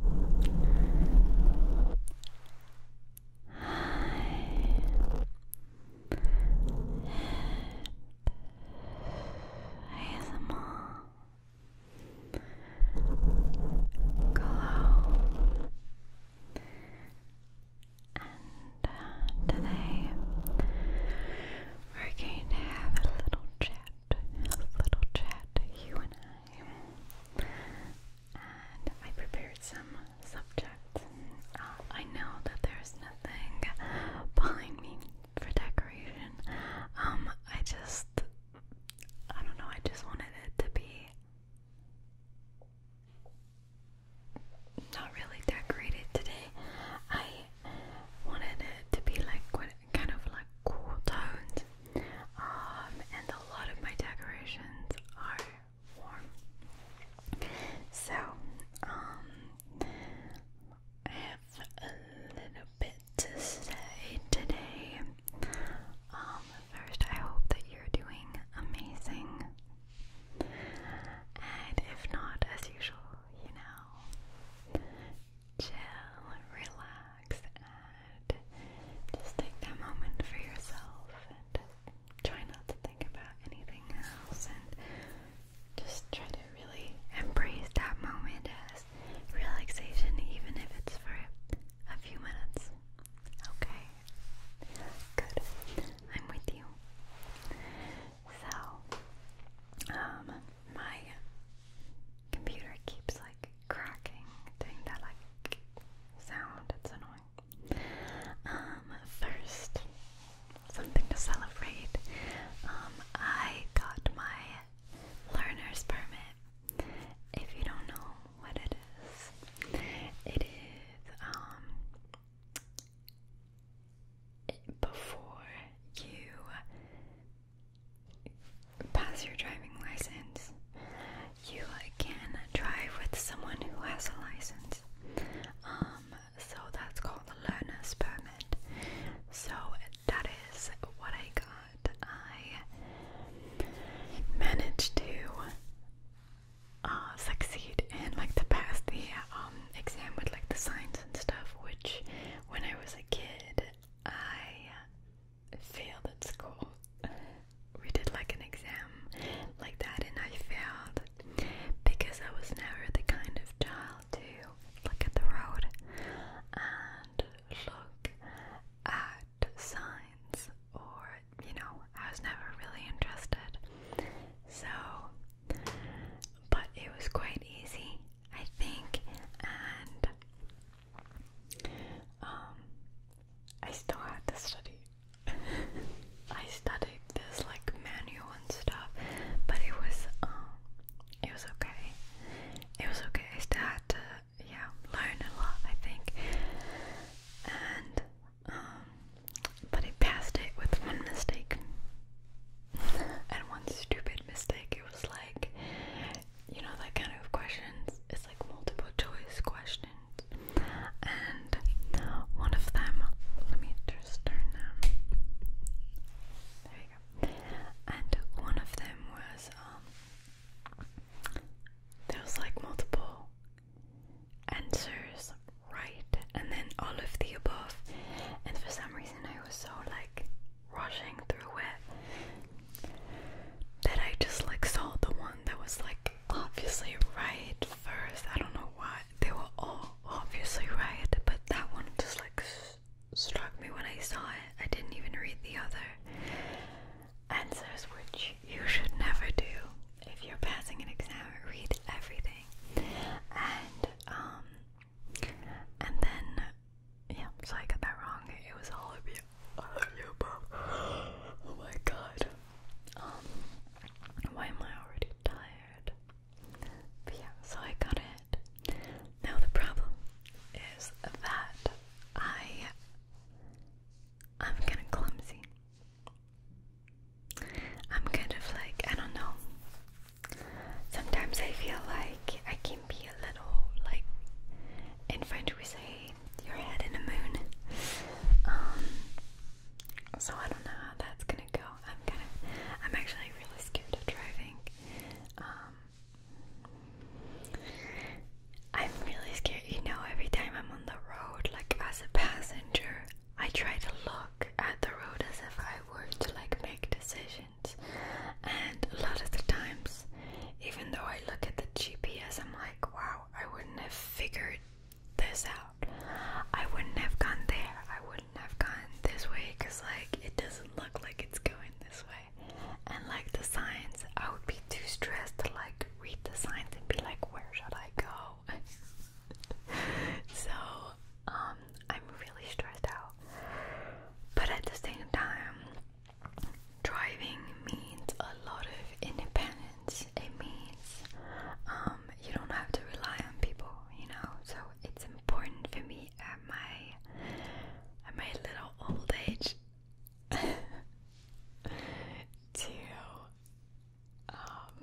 And today we're going to have a little chat, a little chat, you and I and I prepared some subjects. Uh, I know that there's nothing behind me for decoration. Um, I just, I don't know, I just wanted it to be not really decorated today. I wanted it to be like what kind of like cool tones, um, and a lot of my decorations are warm. So, um, I have a little bit to say today. Um, first, I hope that you're doing amazing, and if not, as usual, you know chill, relax, and just take that moment for yourself and try not to think about anything else and just try to really embrace that moment as relaxation, even if it's for a few minutes. Okay? Good. I'm with you. So, um, my computer keeps like cracking, doing that like sound, it's annoying. Um, first, something to celebrate. Um, I got my learner's permit. If you don't know what it is, it is, um, before you pass your driving license, you uh, can drive with someone who has a license. Um, so that's called the learner's permit. So that is what I got. I managed to uh, succeed and like to pass the um, exam with like the signs and stuff, which when I was a kid I failed at school. We did like an exam like that, and I failed because I was never the kind of child to look at the road and look at signs, or you know, I was never really interested. So, but it was quite easy, I think, and um, I still had to study. I studied this like manual and stuff, but it was um, it was okay. It was okay. I still had to yeah learn a lot. I think, and um, but I passed it with one mistake and one stupid mistake. It was like you know that kind of questions it's like multiple choice questions and one of them let me just turn them there you go and one of them was um there was like multiple answers right and then all of the above and for some reason I was so like rushing through it that I just like saw the one that was like obviously right first. I don't know why they were all obviously right, but that one just like struck me when I saw it. I didn't even read the other answers, which you should never do if you're passing an exam. Read everything, and um, and then yeah, so I got that wrong. It was all of you. All of you, bro. Oh my god. Um, why am I already tired? yeah, so I got it. Now the problem is that I I'm kind of clumsy. I'm kind of like I don't know. Sometimes I feel like I can might be a little like in French we say your head in the moon. Um, so I don't know how that's gonna go. I'm kind of I'm actually really scared of driving. Um, I'm really scared, you know, every time I'm on the road, like as a passenger, I try to look at the road as if I were to like make decisions. And a lot of the times even though I look at the GPS, I'm like, wow, I wouldn't have figured this out. I wouldn't have gone there. I wouldn't have gone this way because, like, it doesn't look like it's going this way. And, like, the signs, I would be too stressed to, like, read the signs and be like, where should I go? so, um, I'm really stressed out. But at the same time, driving means a lot of independence. It means um, you don't have to rely on people, you know. So it's important for me at my at my little old age to um,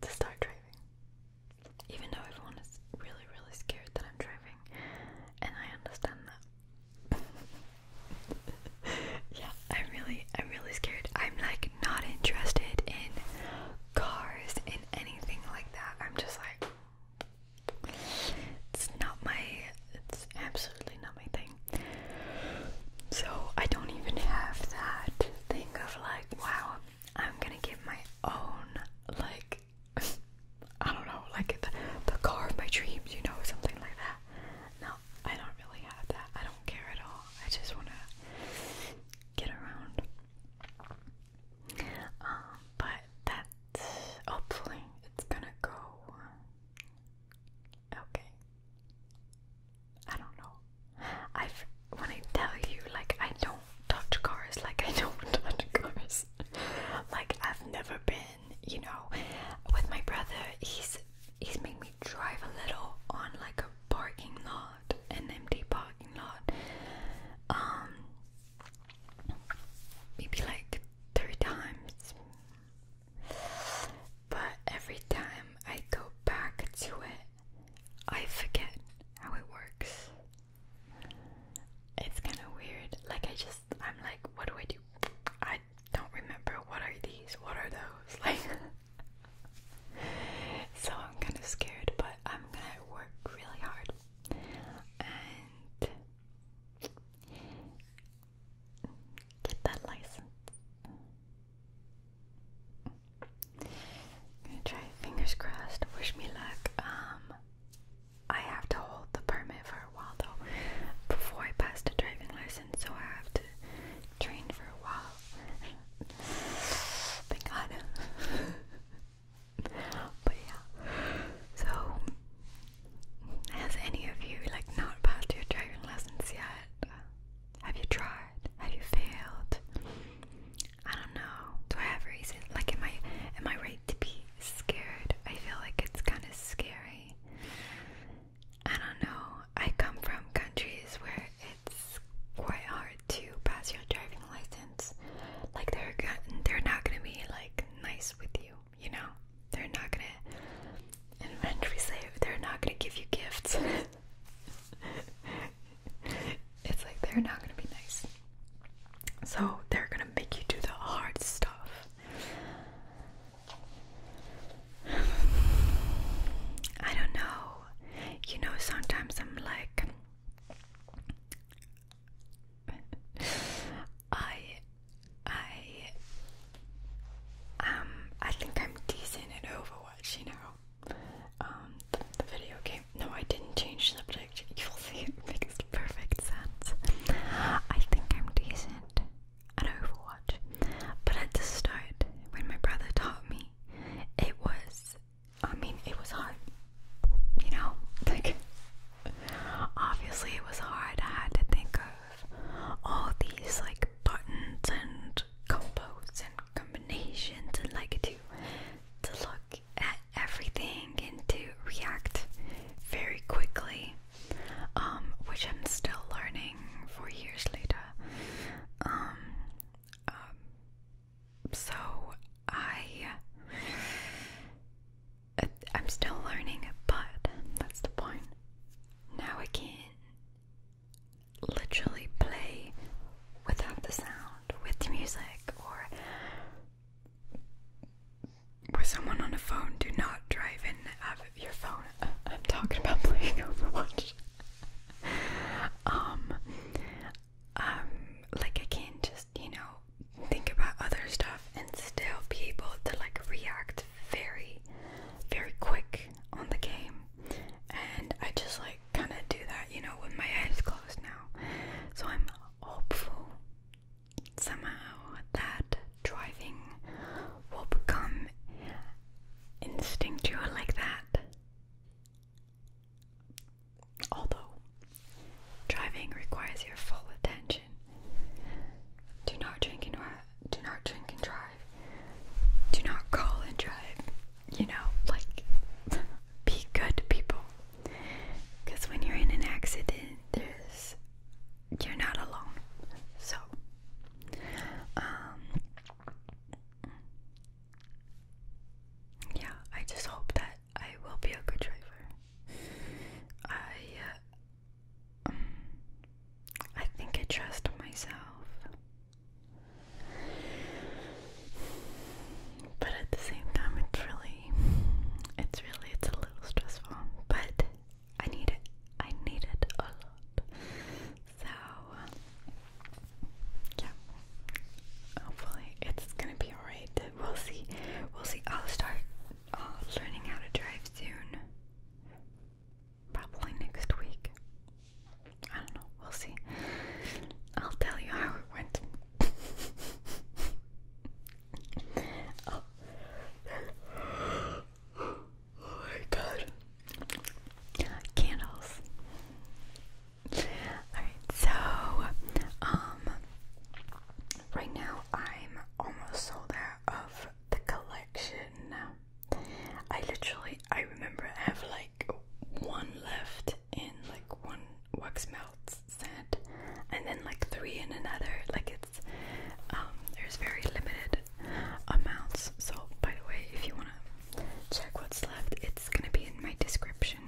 to start driving. Even though everyone is really, really scared that I'm driving, and I understand that. yeah, I'm really, I'm really scared. I'm like not interested in cars and anything like that. I'm just like, it's not my, it's absolutely not my thing. So I don't even have that thing of like, wow, I'm gonna get my own like I don't know, like the, car of my dreams, you know, something like that. No, I don't really have that. I don't care at all. I just want to get around. Um, but that's hopefully it's gonna go okay. I don't know. I've when I tell you, like, I don't touch cars, like, I don't touch cars. like, I've never been you know, with my brother, he's he's made me drive a little on like a parking lot, an empty parking lot. Um, maybe like three times. But every time I go back to it, I forget how it works. It's kind of weird. Like I just I'm like, what do I do? I don't remember what are these, what are those? Like So I'm kind of scared, but I'm gonna work really hard. And get that license. I'm gonna try fingers crossed, wish me luck. Um I have to hold the permit for a while though before I passed a driving license, so I have to train for a while. Thank God. but yeah. So has any of you like not passed your driving lessons yet? Have you tried? Have you failed? I don't know. Do I have reason? Like am I am I right to be scared? I feel like it's kinda scary I don't know. I come from countries where it's quite hard to pass your driving license. Like they're they're not gonna be like nice with you, you know. They're not gonna. In French we say they're not gonna give you gifts. it's like they're not gonna be nice. So they're gonna make you do the hard stuff. I don't know. You know, sometimes I'm like, I, I, um, I think I'm decent at Overwatch, you know, um, the, video game. No, I didn't change subject. You'll see it makes perfect sense. I think I'm decent at Overwatch. But at the start, when my brother taught me, it was, I mean, it was hard. You know, like, obviously it was hard. I had to think of all these, like, buttons and combos and combinations and, like, to, to look at everything and to react very quickly um, which I'm still learning four years later. Um, um, so I, uh, I'm still learning, but that's the point. Now I can literally play without the sound, with the music, or with someone on the phone, do not drive in out of your phone. I'm talking about playing Overwatch. um, um, like I can just you know think about other stuff and still be able to like react very, very quick on the game. And I just like kind of do that, you know, when my eyes closed now. So I'm hopeful somehow that driving will become instinctual like that. Although driving requires your full attention. Do not drink and drive. Do not drink and drive. Do not call and drive. You know, like be good people. Because when you're in an accident, there's you're not alone. So, um, yeah, I just hope that I will be a good driver. I, uh, um, I think I trust myself. But at the same time, it's really, it's really, it's a little stressful. But I need it. I need it a lot. So yeah. Hopefully it's gonna be alright. We'll see. We'll see. I'll start uh, learning how to drive soon. Probably next week. I don't know. We'll see. I'll tell you how it went. Oh. Oh my god. Candles. Alright, so um right now I'm almost sold out of the collection. I literally I remember have like one left in like one wax melt set and then like three in another. Like it's um there's very limited amounts. So, by the way, if you want to check what's left, it's going to be in my description.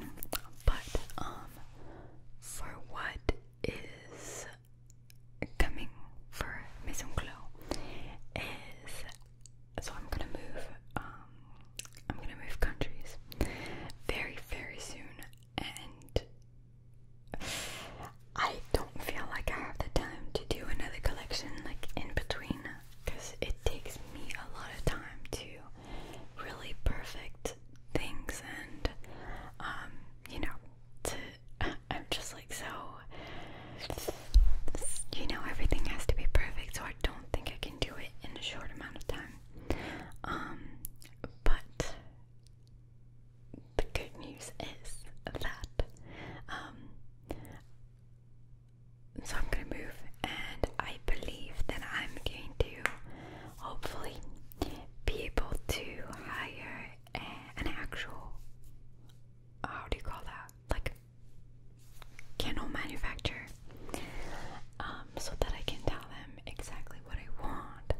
But, um, for what is coming for Maison Clos is so I'm gonna move um I'm gonna move countries very very soon and I don't feel like I have the time to do another collection like in between because it takes me a lot of time to really perfect things and um, you know I'm just like so you know everything has to be perfect so I don't think I can do it in a short amount of time um, but the good news is that um, so I'm gonna move, and I believe that I'm going to hopefully be able to hire an actual how do you call that like candle manufacturer um, so that I can tell them exactly what I want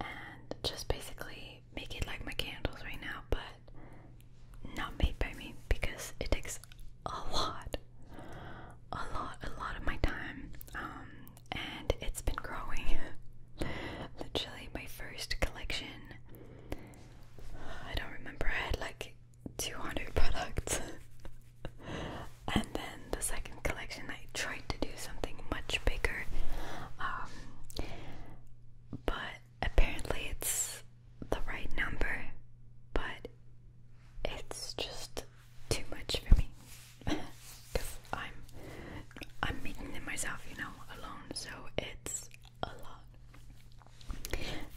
and just basically make it like my candles right now, but not made by me because it takes a lot, a lot, a lot of my time. Um, and it's been growing. Literally, my first collection. I don't remember. I had like 200 products. and then the second collection, I tried to do something much bigger. Um, but apparently it's the right number, but it's just too much for me because I'm I'm making it myself, you know, alone. So it's a lot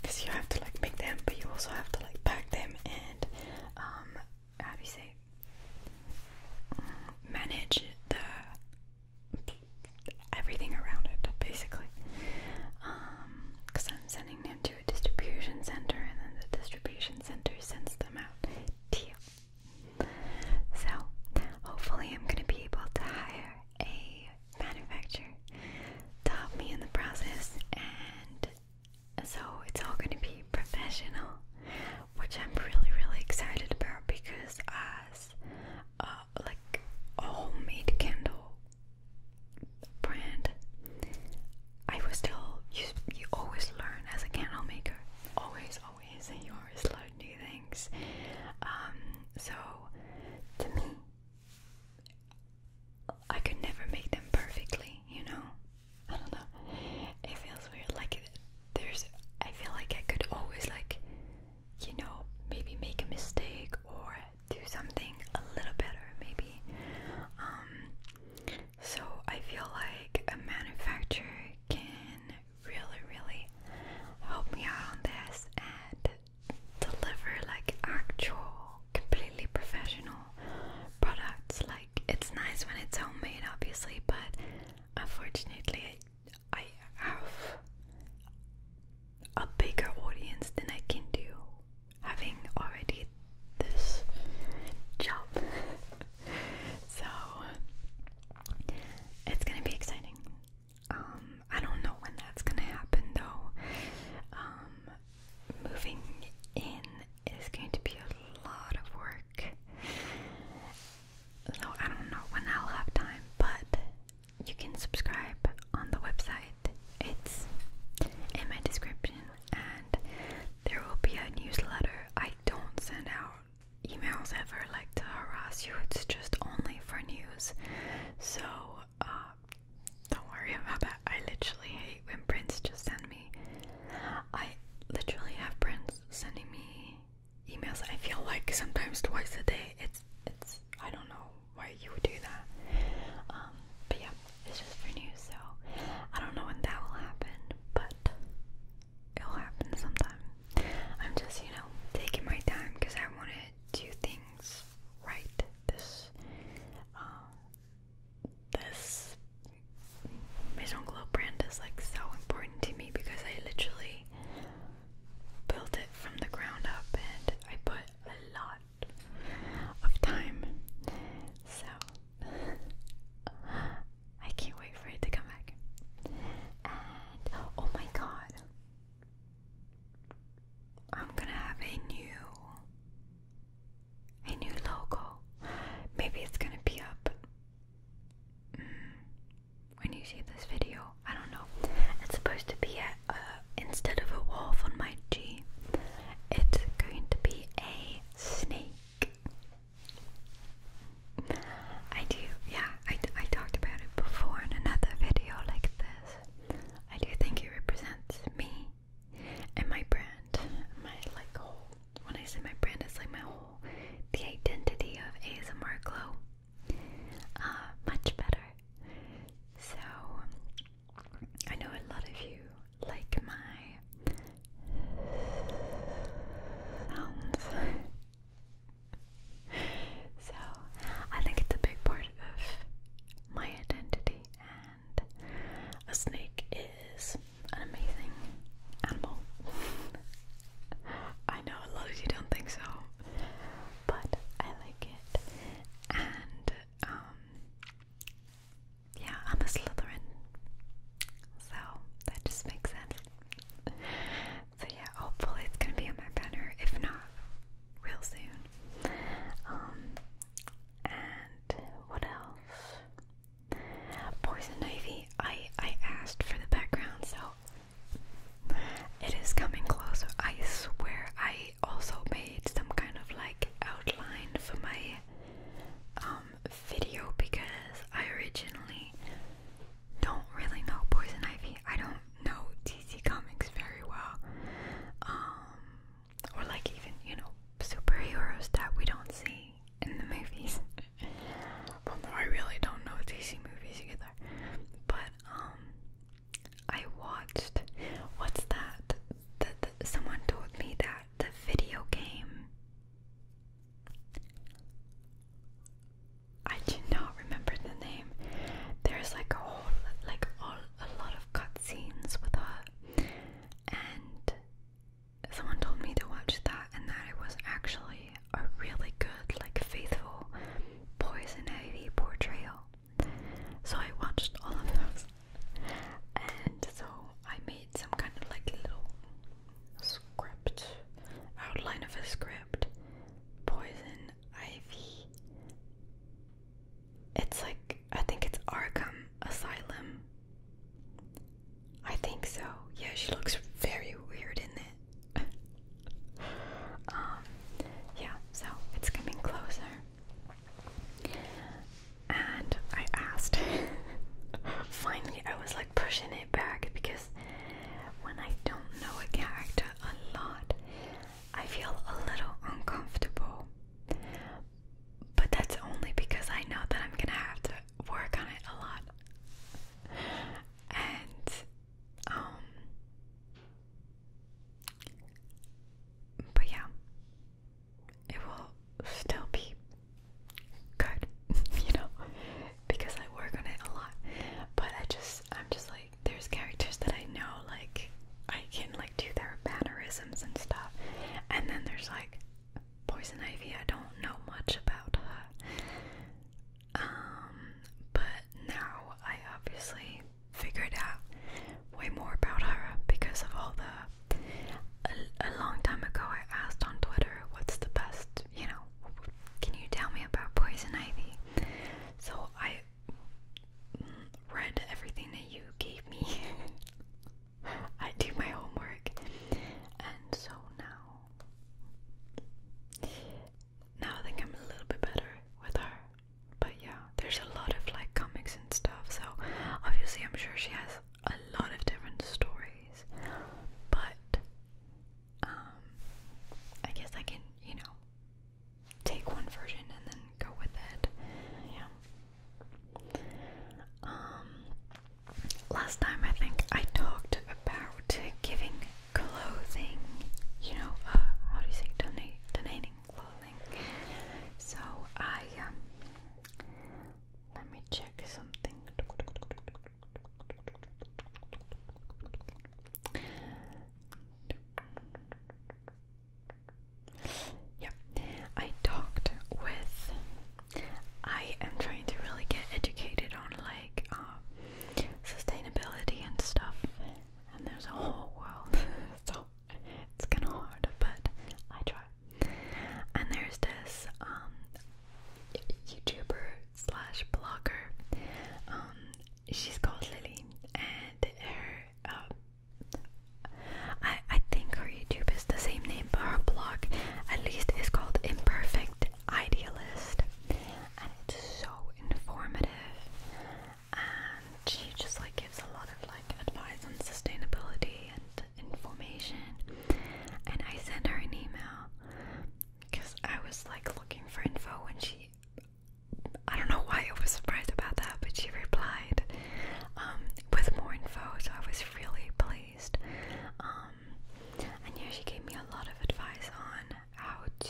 because you have to like make them, but you also have to like pack them and um, how do you say? Manage the everything around it, basically. Because um, I'm sending them to a distribution center, and then the distribution center sends them out to you. So, hopefully, I'm going to be able to hire a manufacturer to help me in the process, and so it's all going to be professional, which I'm really, really excited about because us uh, like a homemade candle brand. I was still you. You always learn as a candle maker. Always, always, you always learn new things. Um, so to me, I could never make them perfectly. You know, I don't know. It feels weird. Like there's, I feel like I could always like you know, maybe make a mistake or do something a little better, maybe. Um, so I feel like a manufacturer can really, really help me out on this and deliver like actual, completely professional products. Like, it's nice when it's homemade, obviously, but unfortunately, I have a bigger audience than I can do having already this job. so it's gonna be exciting. Um, I don't know when that's gonna happen though. Um, moving in is going to be a lot of work. So I don't know when I'll have time, but you can subscribe on the website. It's in my description, and there will be a newsletter. I don't send out emails ever like to harass you, it's just only for news. So, uh, don't worry about that. I literally hate when Prince just send me. I literally have Prince sending me emails. I feel like sometimes twice a day. It's it's I don't know why you would do that. Um, but yeah, it's just for news. So I don't know when that will happen, but it'll happen sometime. I'm just you know taking my time because I want to do things right. This um, this Maison Glow brand is like so important to me because I literally built it from the ground up and I put a lot of time. So I can't wait for it to come back. And oh my god. I'm gonna have a new a new logo. Maybe it's gonna be up. Mm when you see this video, I don't know. It's supposed to be a, instead of a wolf on my G, it's going to be a snake. I do, yeah, I, I talked about it before in another video like this. I do think it represents me and my brand, my like whole. When I say my brand, it's like my whole, the identity of ASMR Glow. Uh, much better. So I know a lot of you like my sounds. so I think it's a big part of my identity, and a snake is an amazing animal. I know a lot of you don't think so, but I like it. And um yeah, I'm a Slytherin. So that just makes sense. So yeah, hopefully it's gonna be on my banner, if not real soon. Um and what else? Poison Ivy. I I asked for the background, so it is coming closer. I swear I also made some kind of like outline for my um, video because I originally don't really know Poison Ivy. I don't know DC Comics very well. Um, or like even, you know, superheroes that we don't see in the movies. I really don't know DC movies either. But um I watched what's that? That someone told me that the video game. I do not remember the name. There's like a whole, like all, a lot of cutscenes with her, and someone told me to watch that, and that it was actually a really good, like faithful Poison Ivy portrayal. So I watched all of those, and so I made some kind of like little script, outline of a script. Poison Ivy. It's like, I think it's Arkham Asylum. I think so. Yeah, she looks very weird in it. Um, yeah, so it's getting closer. And I asked. Finally, I was like pushing it back because when I don't know a character a lot, I feel a little uncomfortable. But that's only because I know that I'm gonna have to work on it a lot. And um but yeah, it will still be good, you know, because I work on it a lot. But I just, I'm just like, there's characters that I know, like, I can like do their mannerisms and stuff. And then there's like Poison Ivy, I don't know much about her. Um, but now I obviously figured out way more about her because of all the. A, long time ago, I asked on Twitter, "What's the best? You know, can you tell me about poison ivy?" So I read everything that you gave me. I do my homework, and so now, now I think I'm a little bit better with her but yeah, there's a lot of like comics and stuff, so obviously, I'm sure she has a lot of different stories, but um, I guess I can, you know, take one version and then go with it. Yeah. Um, last time I think I talked about giving clothing, you know, uh, how do you say, donating clothing. So I, um, let me check something. Yeah, I talked with. I am trying to really get educated on like uh, sustainability and stuff, and there's a whole world, so it's kind of hard, but I try. And there's this um, YouTuber slash blogger. Um, she's called Lily, and her um, I I think her YouTube is the same name, but her blog at least is called Imperfect Idealist, and it's so informative and she just like gives a lot of like advice on sustainability and information. And I sent her an email because I was like looking for info when she. I don't know why I was surprised about that, but she replied um, with more info, so I was really pleased. Um, and yeah, she gave me a lot of advice on how to,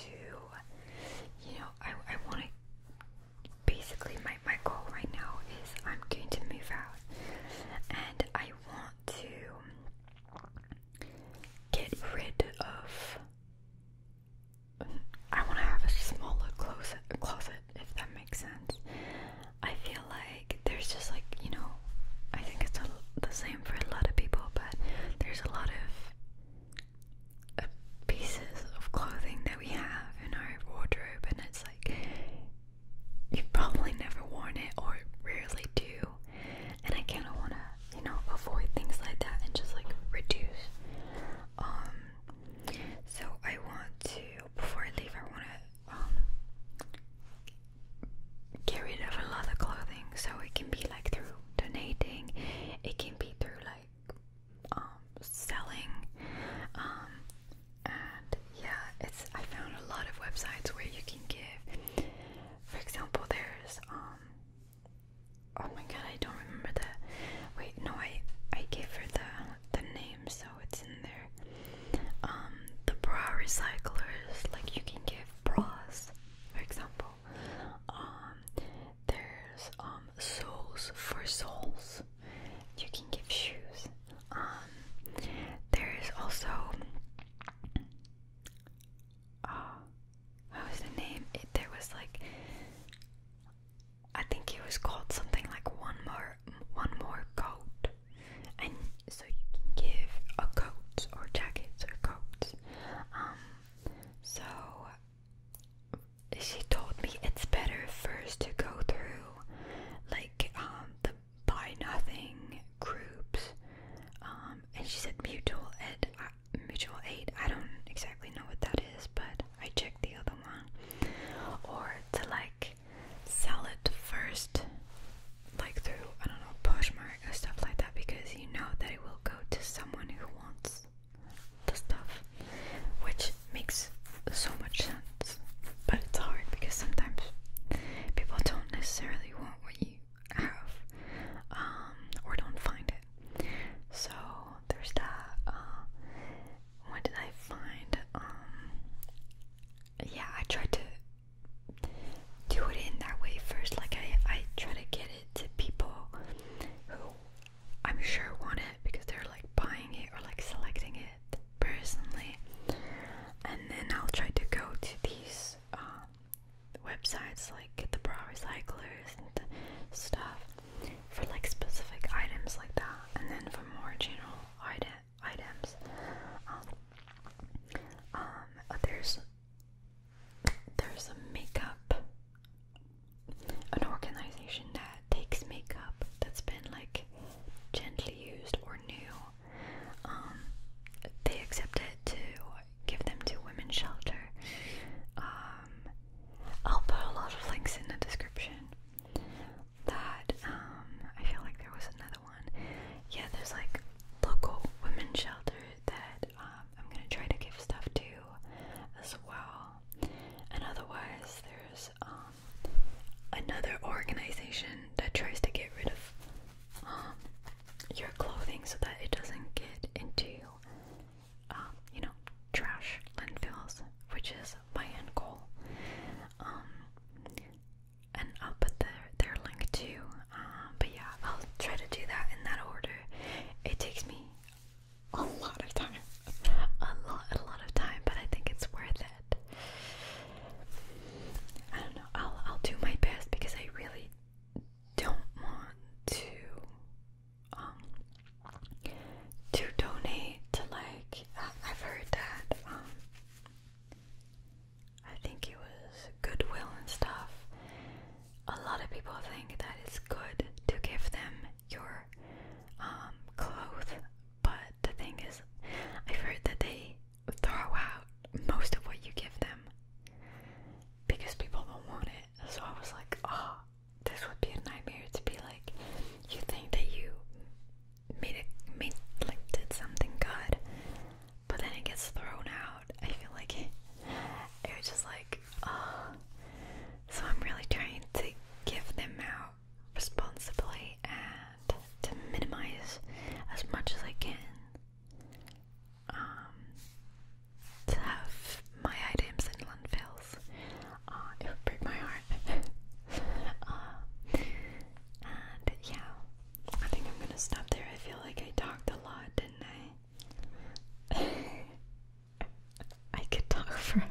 you know, I, I want to. Basically, my, my goal right now is I'm going to move out and I want to get rid of. I want to have a smaller closet, closet, if that makes sense. I feel like there's just like, you know, I think it's a, the same for a lot of people, but there's a lot of pieces of clothing that we have in our wardrobe, and it's like you've probably never worn it or rarely do. And I kind of want to, you know, avoid things like that and just like reduce. Um, so I want to, before I leave, I want to, um, get rid of a lot of clothing so it can be like through donating, it can be through like um, selling. Um, and yeah, it's I found a lot of websites where you can give. For example, there's um. Oh my god, I don't remember the. Wait, no, I I gave her the the name, so it's in there. Um, the bra recyclers, like you can give bras, for example. Um, there's um soles for souls, You can give shoes. Um, there's also uh, what was the name? there was like I think it was called something like one more one more coat, and so you can give a uh, coat or jackets or coats. Um, so she told me it's better first to go through like um the buy nothing groups um and she said mutual ed uh, mutual eight. i don't exactly know what that is but i checked the other one or to like sell it first like through i don't know poshmark or stuff like that because you know that it will go to someone who wants the stuff, which makes so much sense. But it's hard because sometimes people don't necessarily want what you have um, or don't find it. So there's that. Uh, what did I find? Um, yeah, I tried to do it in that way first. Like I, I try to get it to people who I'm sure want it because they're like buying it or like selecting it personally. And then I'll try to go to these um, websites like the bra recyclers and stuff for like specific items like that. And then for more general items, um, um there's there's a makeup, an organization that takes makeup that's been like gently used or new. Um, they accept it to give them to women's shelter. Um, I'll put a lot of links in the description. That um, I feel like there was another one. Yeah, there's like local women's shelter that I'm gonna try to give stuff to as well. And otherwise, there's um, another organization that tries to get rid of um, your clothing so that it doesn't get into, um, you know, trash landfills, which is my end goal. and I'll put their, their link too. but yeah, I'll try to do that in that order. It takes me a lot of time. A lot, a lot of time, but I think it's worth it. I don't know. I'll I'll do my best because I really don't want to um to donate to like uh, I've heard that um I think it was Goodwill and stuff a lot of people think that it's good to give them your um, clothes, but the thing is, i heard that they throw out most of what you give them because people don't want it. So I was like, ah, this would be a nightmare to be like, you think that you made it, made like did something good, but then it gets thrown out. I feel like it, it was just like, oh, so I'm really trying to give them out responsibly and to minimize as much as I can. Um, to have my items in landfills, uh, it would break my heart. Uh, and yeah, I think I'm gonna stop there. I feel like I talked a lot, didn't I? I could talk forever.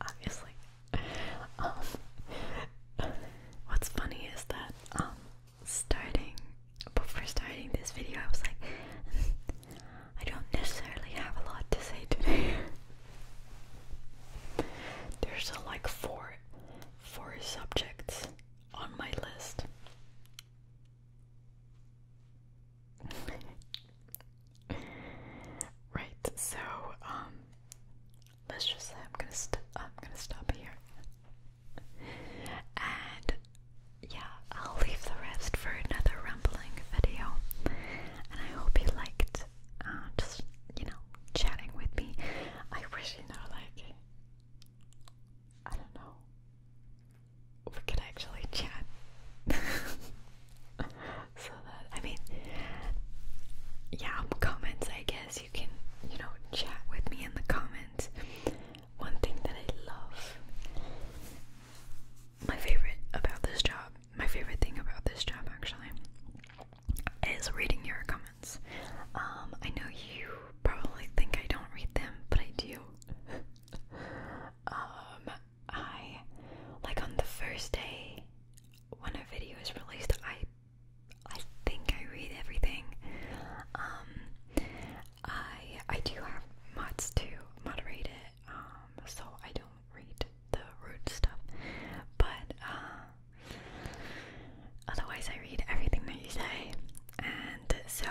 Obviously. Um, what's funny is that um, starting before starting this video, I was like, I don't necessarily have a lot to say today. There's uh, like four, four subjects on my list. right, so um, let's just say I'm gonna i I'm gonna stop here. And yeah, I'll leave the rest for another rambling video. And I hope you liked uh, just you know chatting with me. I wish you know like I don't know we can actually chat. so that I mean, yeah, comments. I guess you can, you know, chat with me in the comments. One thing that I love, my favorite about this job, my favorite thing about this job actually, is reading your comments. Um, I know you probably think I don't read them, but I do. um, I like on the first day when a video is released, I I think I read everything. Um, I I do have mods to moderate it, um, so I don't read the rude stuff, but uh, otherwise I read everything that you say, and so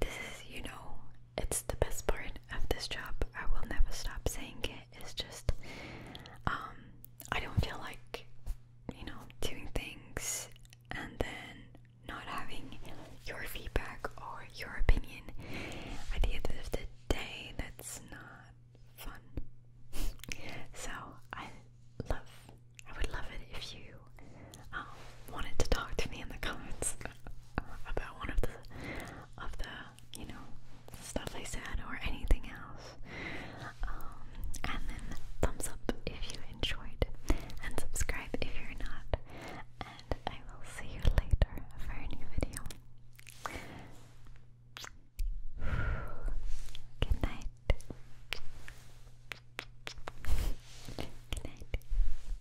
this is you know it's the best part of this job. I will never stop saying it. It's just, um, I don't feel like, you know, doing things and then not having your feedback or your opinion at the end of the day. That's not fun. so I love, I would love it if you um, wanted to talk to me in the comments. about one of the of the you know stuff I said or anything else. Um, and then thumbs up if you enjoyed, and subscribe if you're not. And I will see you later for a new video. Good night. Good night.